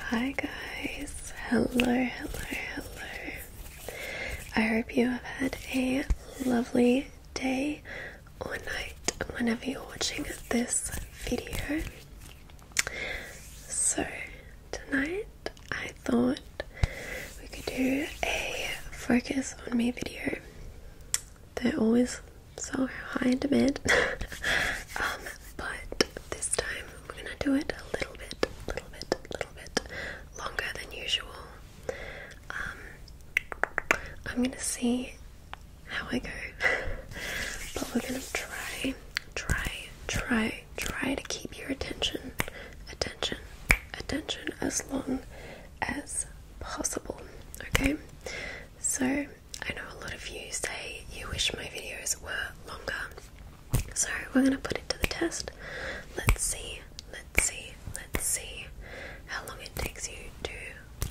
Hi guys. Hello, hello, hello. I hope you have had a lovely day or night whenever you're watching this video. So, tonight I thought we could do a focus on me video. They're always so high in demand, um, but this time we're gonna do it a little bit, little bit, little bit longer than usual. Um, I'm gonna see how I go, but we're gonna try, try, try try to keep your attention, attention, attention as long as possible. Okay, so I know a lot of you say you wish my videos were longer, so we're gonna put it to the test. Let's see, let's see, let's see how long it takes you to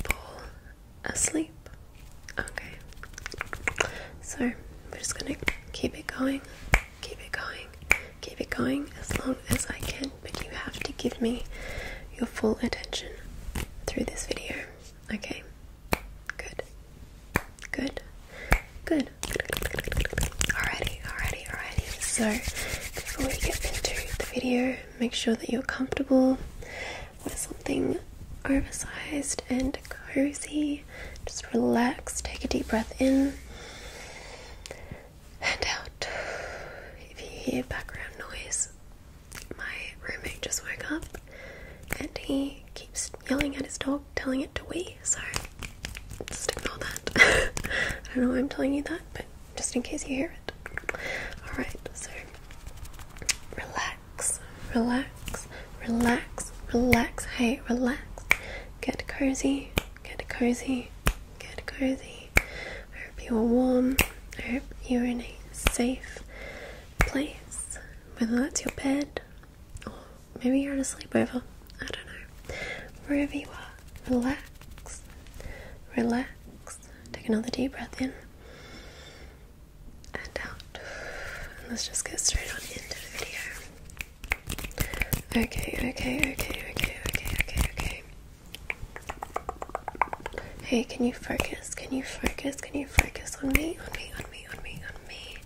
fall asleep. Okay. So we're just gonna keep it going, keep it going, keep it going as long as I can, but you have to give me your full attention through this video. Okay. Good. Good. Good. Alrighty, alrighty, alrighty. So before we get into the video, make sure that you're comfortable with something oversized and cozy just relax, take a deep breath in and out. If you hear background noise, my roommate just woke up and he keeps yelling at his dog, telling it to wee, so just ignore that. I don't know why I'm telling you that, but just in case you hear it. Alright, so relax relax, relax, relax, relax. Hey, relax. Get cozy, get cozy, get cozy. I hope you are warm. I hope you're in a safe place, whether that's your bed or maybe you're in a sleepover. I don't know. Wherever you are, relax, relax. Take another deep breath in and out. And let's just get straight on into the video. Okay, okay, okay, okay, okay, okay, okay. Hey, can you focus? Can you focus? Can you focus on me? On me, on me, on me, on me.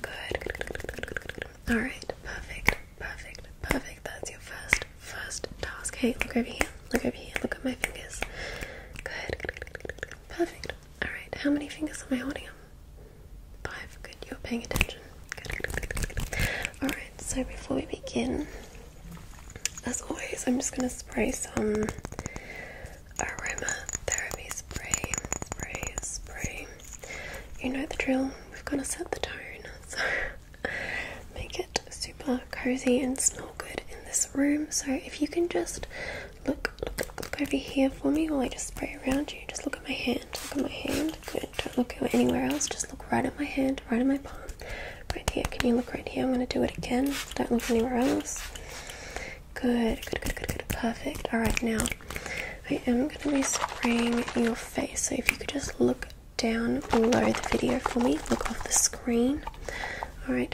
Good, good, good, good, good, good, good. Alright, perfect, perfect, perfect. That's your first, first task. Hey, look over here, look over here, look at my fingers. Good, good, good, good, good, good. perfect. Alright, how many fingers am I holding up? Five, good, you're paying attention. Alright, so before we begin, as always, I'm just going to spray some aroma therapy spray. Spray, spray. You know the drill, we've got to set the tone. So make it super cozy and smell good in this room. So if you can just Look, look, look over here for me while I just spray around you. Just look at my hand. Look at my hand. Good. Don't look anywhere else. Just look right at my hand, right at my palm. Right here. Can you look right here? I'm going to do it again. Don't look anywhere else. Good, good, good, good, good. Perfect. All right, now I am going to be spraying your face. So if you could just look down below the video for me, look off the screen. All right,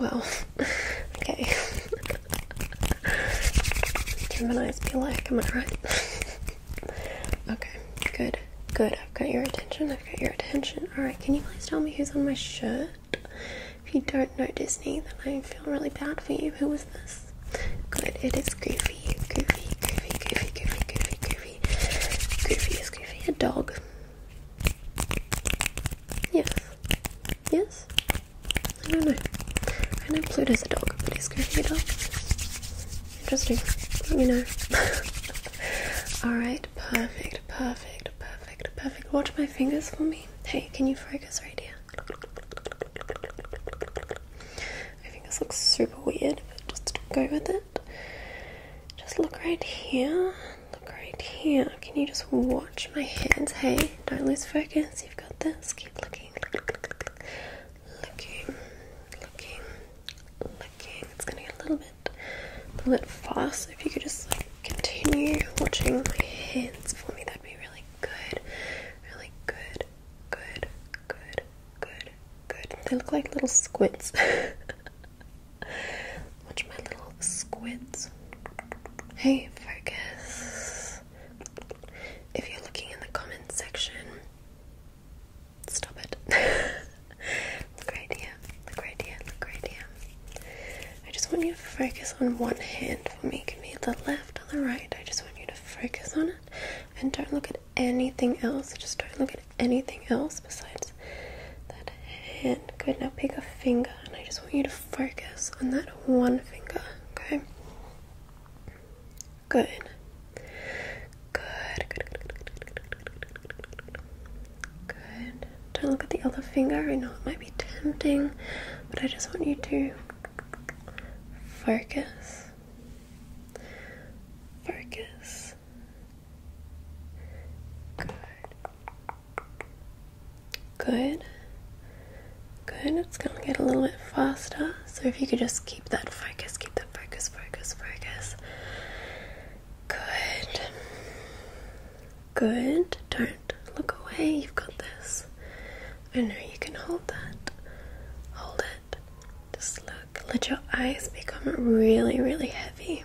well, okay. Geminis be like, am I right? okay, good, good. I've got your attention, I've got your attention. Alright, can you please tell me who's on my shirt? If you don't know Disney, then I feel really bad for you. Who was this? Good, it is Goofy. Goofy, Goofy, Goofy, Goofy, Goofy, Goofy. Goofy is Goofy a dog? Yes. Yes? I don't know. I know Pluto's a dog, but he's going to a dog. Interesting. Let me know. Alright, perfect, perfect, perfect, perfect. Watch my fingers for me. Hey, can you focus right here? My fingers look super weird, but just go with it. Just look right here. Look right here. Can you just watch my hands? Hey, don't lose focus. You've got this. Keep looking. Looking. Looking. Looking. It's gonna get a little bit a little bit fast. If you could just continue watching my hands for me, that'd be really good. Really good. Good. Good. Good. Good. They look like little squids. Watch my little squids. Hey, focus. If you're looking in the comments section, stop it. look right here. Look right here. Look right here. I just want you to focus on one hand for me. It can be the left or the right. I just want you to focus on it and don't look at anything else. Just don't look at anything else besides that hand good now pick a finger and i just want you to focus on that one finger okay good good good good, good. good. don't look at the other finger i know it might be tempting but i just want you to focus focus Good. Good. Good. It's going to get a little bit faster. So if you could just keep that focus, keep that focus, focus, focus. Good. Good. Don't look away. You've got this. I know you can hold that. Hold it. Just look. Let your eyes become really, really heavy.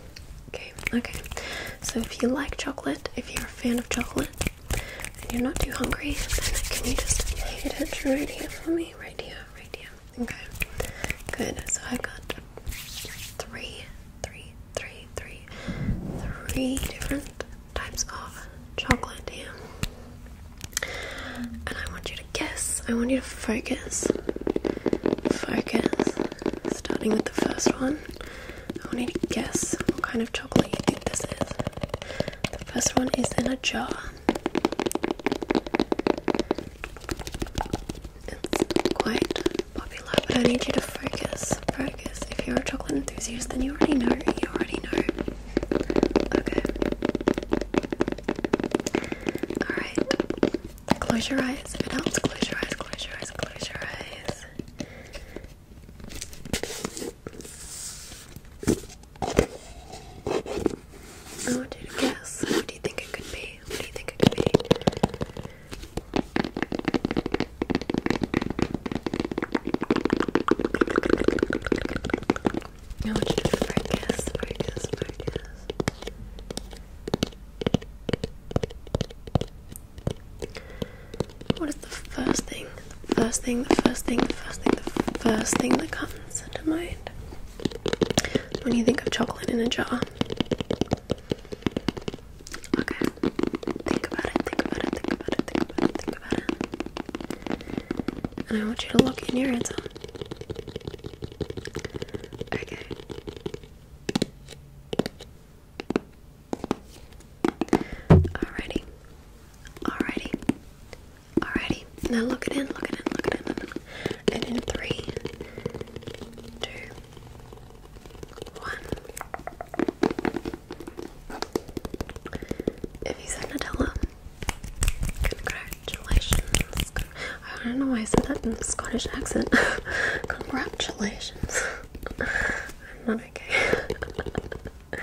Okay, okay. So if you like chocolate, if you're a fan of chocolate and you're not too hungry, then can you just hit it right here for me? Right here, right here. Okay. Good. So I have got three, three, three, three, three different types of chocolate here. And I want you to guess. I want you to focus. Focus. Starting with the first one. I want you to guess what kind of chocolate you think this is. The first one is in a jar. It's quite popular, but I need you to focus. Focus. If you're a chocolate enthusiast, then you already know. You already know. Okay. Alright. Close your eyes. If it helps, close your eyes, close your eyes, close your eyes. I want you to guess. What do you think it could be? What do you think it could be? I want you to focus, focus, focus. What is the first thing? The first thing, the first thing, the first thing, the first thing that comes to mind when you think of chocolate in a jar? Okay, think about it, think about it, think about it, think about it, think about it. And I want you to lock in your answer. Okay. Alrighty. Alrighty. Alrighty. Now look it in, look it in, look it in. in. And in three, two, one. If you said Nutella, congratulations. I don't know why I said that in Scottish accent. congratulations. I'm not okay. okay,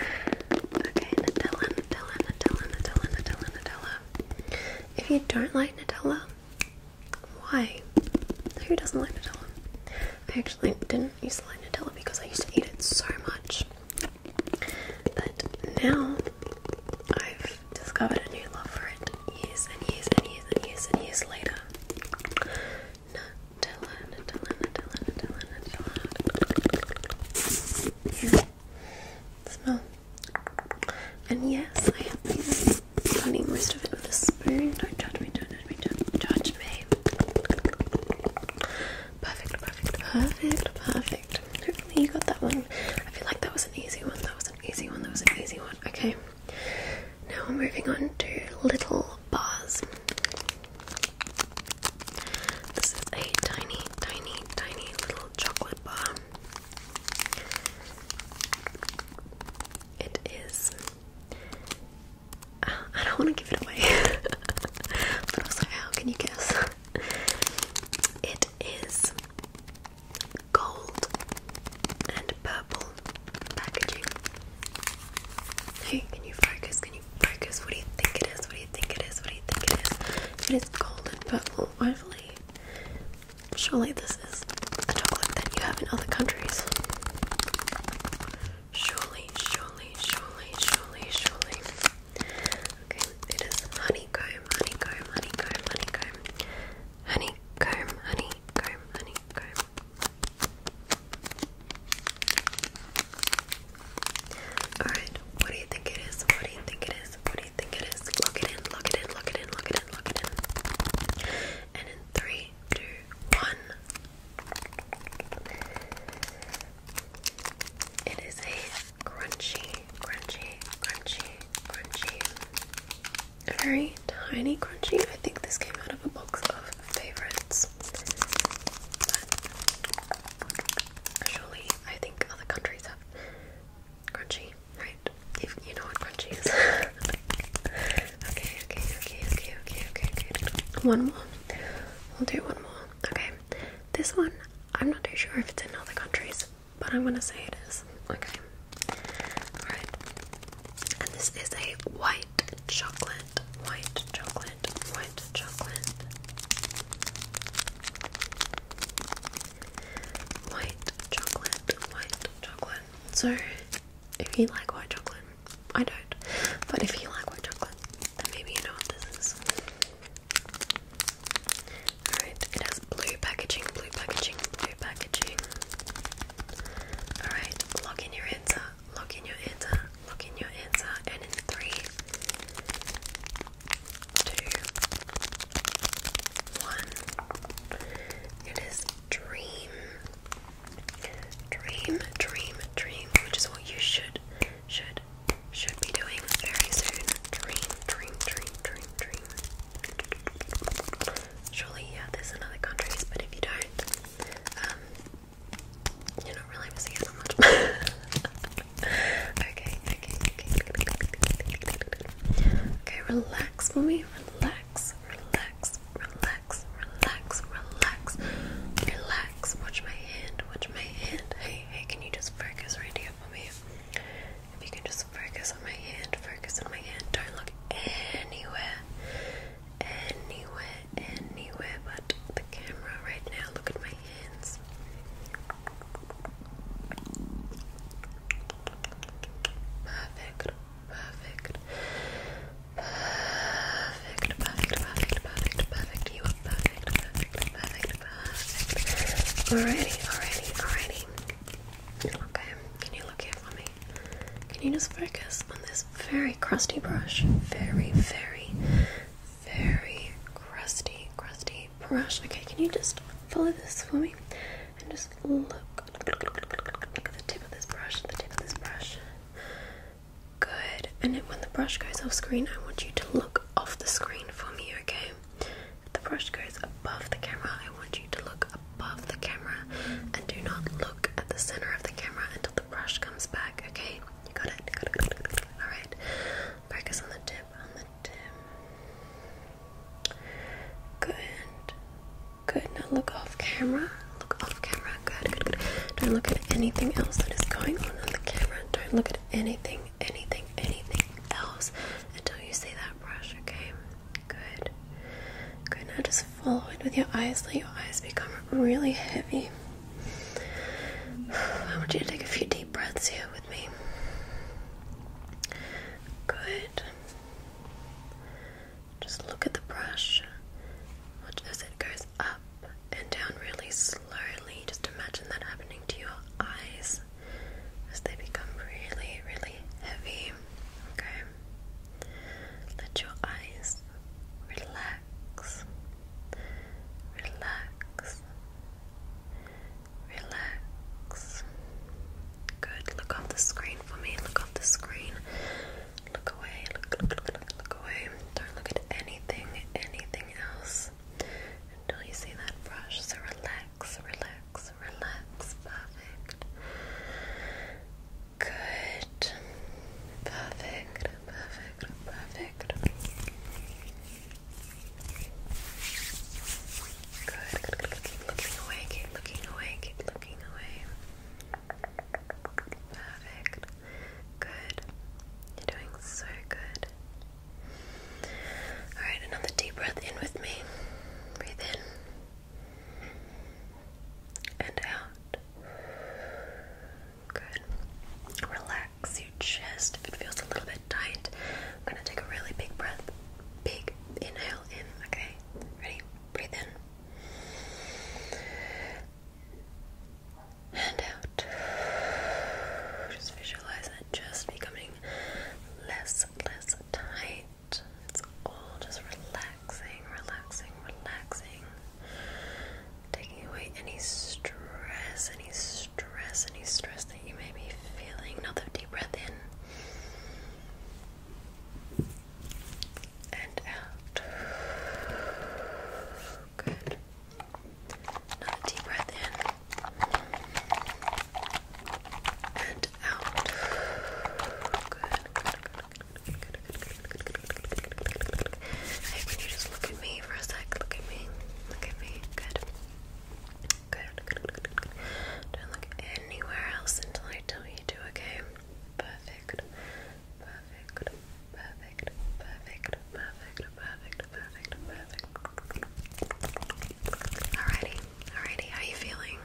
Nutella, Nutella, Nutella, Nutella, Nutella, Nutella. If you don't like Nutella, why? Who doesn't like Nutella? I actually didn't used to like Nutella because I used to eat it so much. But now I've discovered a new love for it and and years and years and years and years later. Nutella, Nutella, Nutella, Nutella, Nutella. Yeah. Smell. And yes, I have been eating most of it with a spoon. Don't judge me, don't judge me, judge me. Perfect, perfect, perfect, perfect. you got that one. I feel like that was an easy one. That was an easy one. That was an easy one. Okay. Now we're moving on to little bars. This is a tiny, tiny, tiny little chocolate bar. It is. Uh, I don't want to give it away, but also, how can you guess? It is gold and purple packaging. can you focus? Can you focus? What do you think it is? What do you think it is? What do you think it is? It is gold and purple, hopefully. Surely this is a chocolate that you have in other countries. Surely, surely, surely, surely, surely. Okay, it is honeycomb, honeycomb, honeycomb, honeycomb. Honeycomb, honeycomb, honeycomb, Alright, what do you think it is? What do you think it is? What do you think it is? Lock it in, lock it in, lock it in, lock it in, lock it in. And in three, two, one. It is a crunchy, crunchy, crunchy crunchy. A very tiny crunchy. I think this came out of a box of favorites. But surely, I think other countries have crunchy, right? If you know what crunchy is. okay, okay, okay, okay, okay, okay, okay. One more. We'll do one more. Okay. This one, I'm not too sure if it's in other countries, but I'm gonna say it is. Okay. Alright. And this is a white chocolate. White chocolate. White chocolate. White chocolate. White chocolate. So if you like white chocolate, I don't. But if you like white chocolate, then maybe you know what this is. Alright, it has blue packaging, blue packaging, blue packaging. Alright, lock in your answer, lock in your answer, lock in your answer, and in three, two, one. It is dream. Dream, dream, dream, which is what you should, should, should be doing very soon. Dream, dream, dream, dream, dream, Surely you have this in but if you don't, um, you're not really missing out on much. okay, okay, okay. Okay, relax, mommy. Relax, relax, relax, relax, relax, relax. Watch my hand, watch my hand. Hey, hey, can you just focus right here for if you can just focus on my hand, focus on my hand. Don't look anywhere, anywhere, anywhere but the camera right now. Look at my hands. Perfect, perfect, perfect, perfect, perfect, perfect, You are perfect, perfect, perfect, perfect. Alrighty, alrighty, alrighty. Okay, can you look here for me? Can you just focus on this very crusty brush? Very, very, very crusty, crusty brush. Okay, can you just follow this for me? And just look, at the tip of this brush, the tip of this brush. Good. And when the brush goes off screen, I want you to look off the screen for me, okay? If the brush goes above the camera, I want you to look above the camera and do not look at the center of the camera until the brush comes back, okay? You got it? Got it, Alright. Focus on the tip, on the tip. Good. Good. Now look off camera. Look off camera. Good, good, good. Don't look at anything else that is going on on the camera. Don't look at anything, anything, anything else until you see that brush, okay? Good. Good. Now just follow it with your eyes. Let your eyes become really heavy. I want you to take a few deep breaths here with me. Good. Just look at the brush. Watch as it goes up and down really slowly. Just imagine that happening to your eyes as they become really, really heavy. Okay? Let your eyes relax. Relax. Relax. Good. Look off the screen for me. Look off the screen. Look away. look, look, look, look away. Don't look at anything, anything else until you see that brush. So relax, relax, relax, Perfect. Good. Perfect, perfect, perfect. Good, looking away, keep looking away, keep looking away. Perfect. Good. You're doing so good. Alright, another deep breath in with me. Breathe in and out. Good. Relax your chest if it feels a little bit tight. I'm gonna take a really big breath. Big inhale in, okay? Ready? Breathe in. And out. Just visualize that chest becoming less less tight. It's all just relaxing, relaxing, relaxing. Taking away any stress, any stress, any stress that you may be feeling. Another deep breath in and out. Good. Another deep breath in and out. Good, can you just look at me for a sec? Look at me. Look at me. Good. Good, Don't look anywhere else until I tell you to, okay? Perfect. Perfect. Perfect. Perfect. Perfect. Perfect. Perfect. Perfect. Alrighty, alrighty, how are you feeling?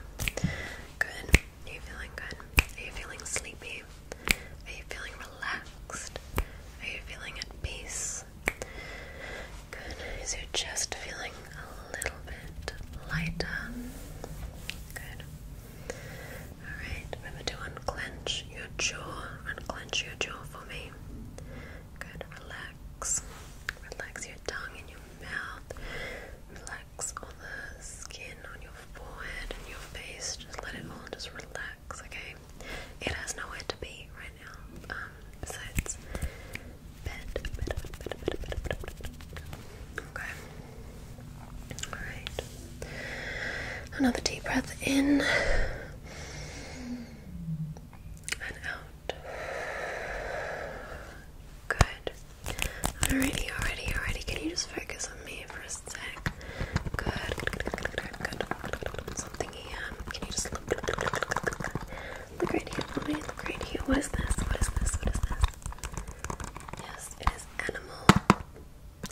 Good. Are you feeling good? Are you feeling sleepy? Are you feeling relaxed? Are you feeling at peace? Good. Is your chest feeling a little bit lighter? Good. Alright, remember to unclench your jaw. Unclench your jaw for me. Good. Relax. Relax tongue and your mouth. Relax all the skin on your forehead and your face. Just let it all just relax, okay? It has nowhere to be right now. besides bed. Okay. Alright. Another deep breath in and out. Good. Alrighty, alrighty, alrighty. Can you just focus on me for a sec? Good, good, good, good, good, Something here. Can you just Look right here for me. Look right here. What is this? What is this? What is this? Yes, it is animal,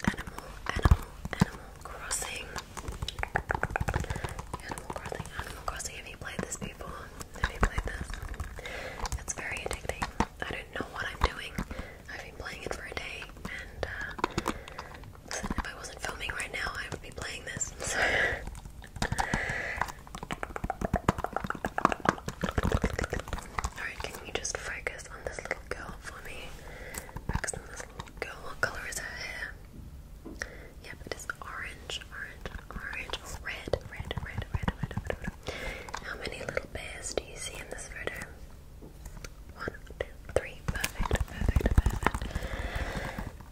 animal, animal, animal crossing. Animal Crossing, Animal Crossing. Have you played this before? Have you played this? It's very addicting. I don't know what I'm doing. I've been playing it for a day, and uh, if I wasn't filming right now, I would be playing this. Alright, can you just focus on this little girl for me? Focus on this little girl. What color is her hair? Yep, it is orange, orange, orange, red, red, red, red, red, red, How many little bears do you see in this photo? One, two, three. Perfect, perfect, perfect.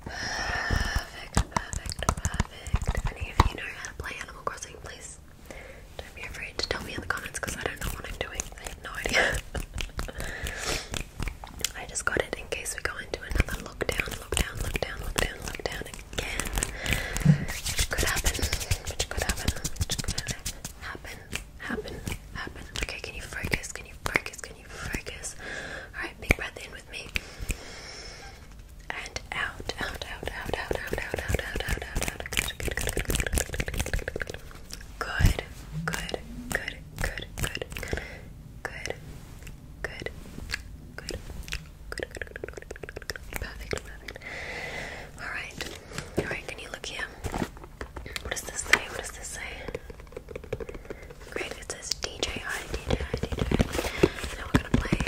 Perfect, perfect, perfect. If you know how to play Animal Crossing, please don't be afraid to tell me in the comments because I don't know what I'm doing. I have no idea. I just got it in case we go into another lockdown look down, look down, look down, look down again. could happen. could happen. could happen. Happen. Happen. Okay, can you focus? Can you focus? Can you focus? Alright, big breath in with me. And out, out, out, out, out, out, out, out, out, out, out, out. Good, good, good, good, good, good, good, good, good, good, good, good, good, good, good, Good. Good. Good. Good. Good. Good. Perfect. Perfect. All right. All right. Can you look here? What does this say? What does this say? Great. It says DJI. DJI. DJI. Now we're gonna play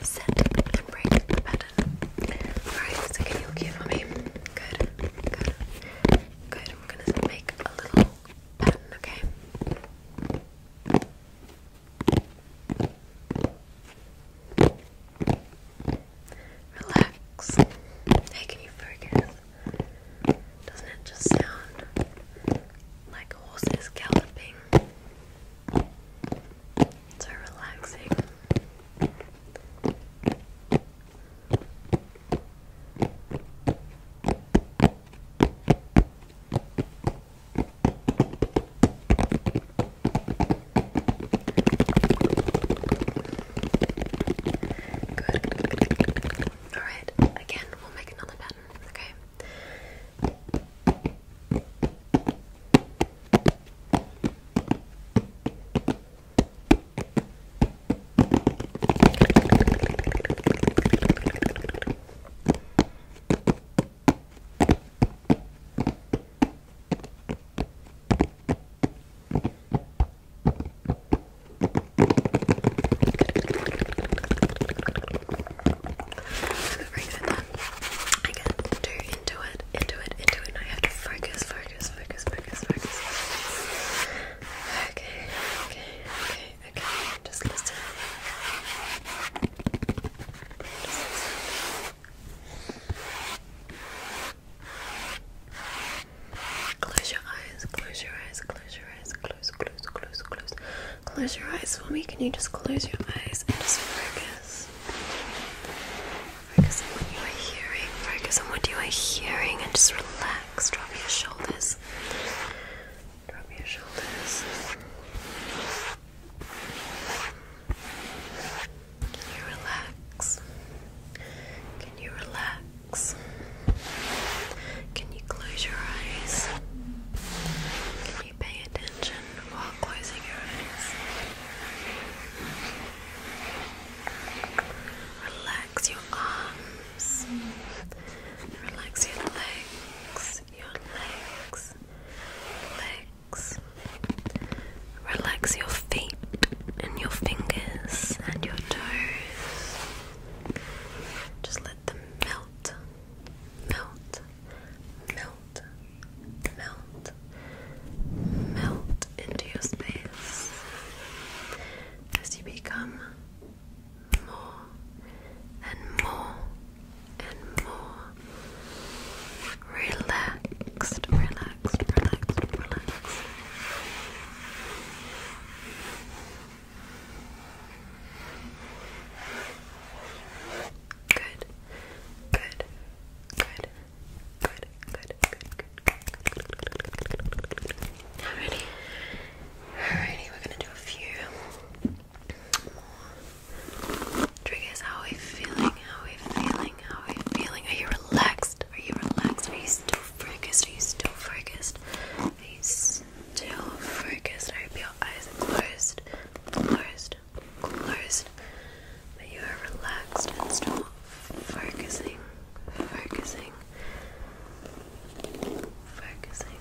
a set break All right. So can you look here for me? Good. Good. Good. I'm gonna make a little okay? Relax. can you focus? Doesn't it just sound like a horse is So relaxing. Good. Alright, again, we'll make another pattern, okay? Good. Very good then. I get too into it, into it, into it, and I have to focus, focus, focus, focus, focus. Okay, okay, okay just listen. Close your eyes, close your eyes, close your eyes, close, close, close, close. Close your eyes for me. Can you just close your eyes and just focus? Focus on what you are hearing, focus on what you are hearing, and just relax. Drop your shoulders Drop your shoulders. Can you relax? Can you relax? Can you close your eyes? Can you pay attention while closing your eyes? Relax your arms. Relax your legs, your legs, legs. Relax your feet and your fingers and your toes. Just let them melt, melt, melt, melt, melt into your space as you become more and more and more relaxed, relaxed, relaxed, relaxed. Good, good, good, good, good, good, Alrighty. Alrighty, we're gonna do a few more How are you feeling? How are you feeling? How are you feeling? Are you relaxed? Are you relaxed? Are you still focused? Are you still focused? Are you still focused? I hope your eyes are closed. Closed. Closed. But you are relaxed and still focusing focusing, focusing.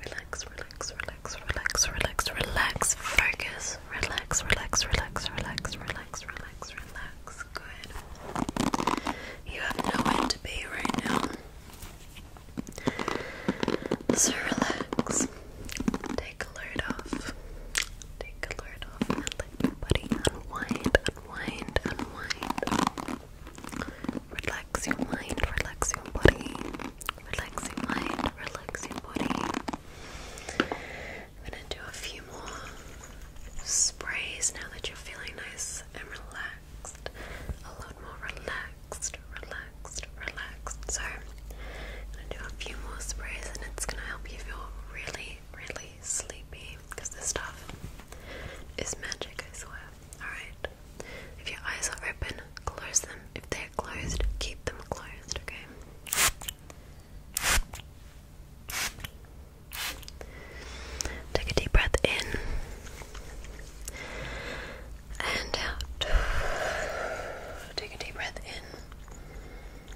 Relax, relax, relax, relax, relax, relax, focus, relax, relax, relax, relax, relax, relax, relax. Good. You have nowhere to be right now. So relax. Take a load off. Take a load off and everybody unwind, unwind, unwind. Relax your mind, relax your body. Relax your mind, relax your body. I'm gonna do a few more sprays now that you're feeling nice and relaxed. A lot more relaxed, relaxed, relaxed. So I'm gonna do a few more sprays and it's gonna help you feel really really sleepy because this stuff is magic, I swear. Alright. If your eyes are open, close them. If they're closed, keep them closed, okay? Take a deep breath in and out. Take a deep breath in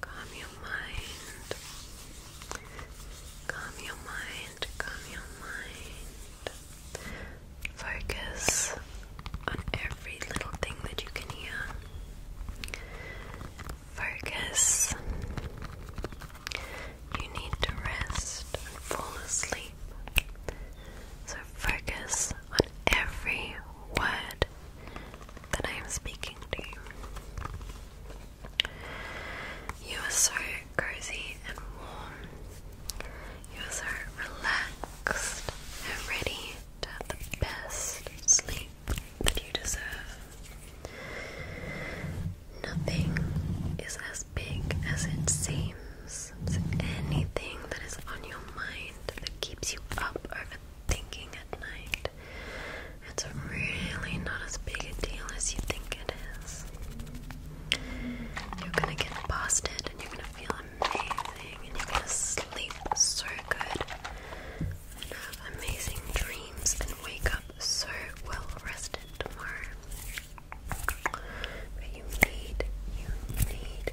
Calm your mind. Calm your mind. Calm your mind. Focus on every little thing that you can hear. Focus. You need to rest and fall asleep. So focus on every word that I am speaking to. You are so cozy and warm. You are so relaxed and ready to have the best sleep that you deserve. Nothing is as big as it seems. anything that is on your mind that keeps you up thinking at night. It's really not as big a deal as you think it is. You're gonna get past it and you're gonna feel amazing and you're gonna sleep so good and have amazing dreams and wake up so well rested tomorrow. But you need, you need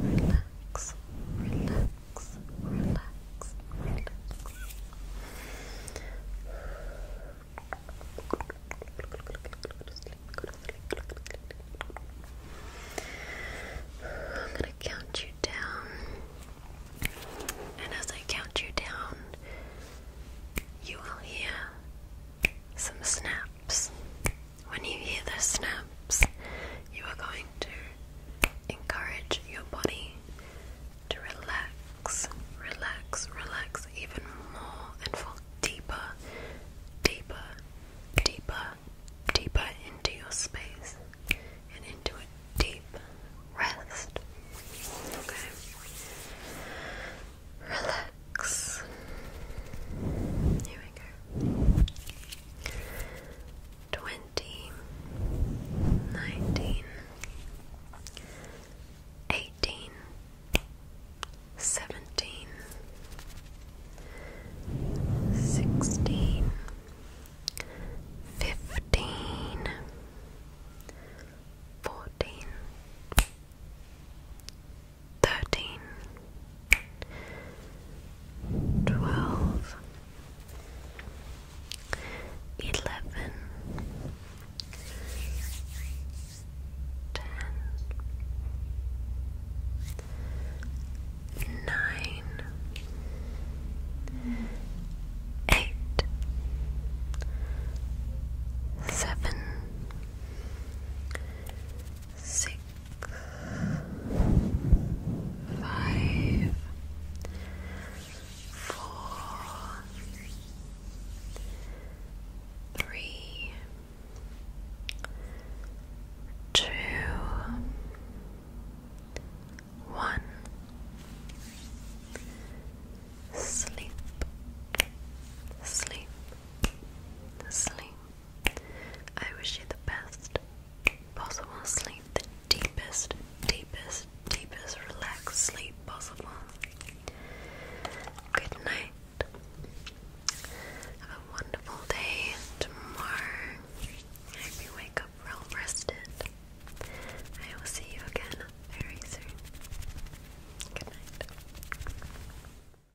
relax, relax, relax, relax. I'm gonna count you down, and as I count you down, you will hear some snaps. When you hear the snaps, you are going to encourage your body to relax, relax, relax even more and fall deeper, deeper, deeper, deeper into your space and into a deep rest. Okay. Relax. Here we go twenty, nineteen, eighteen, seventeen, sixteen, fifteen, fourteen thirteen, twelve, eleven, ten, nine, eight, seven, six five, four, three, two, one. Sleep, sleep, sleep. I wish you the best possible sleep, the deepest, deepest, deepest relaxed sleep possible. Good night. Have a wonderful day tomorrow. I you wake up well rested. I will see you again very soon. Good night.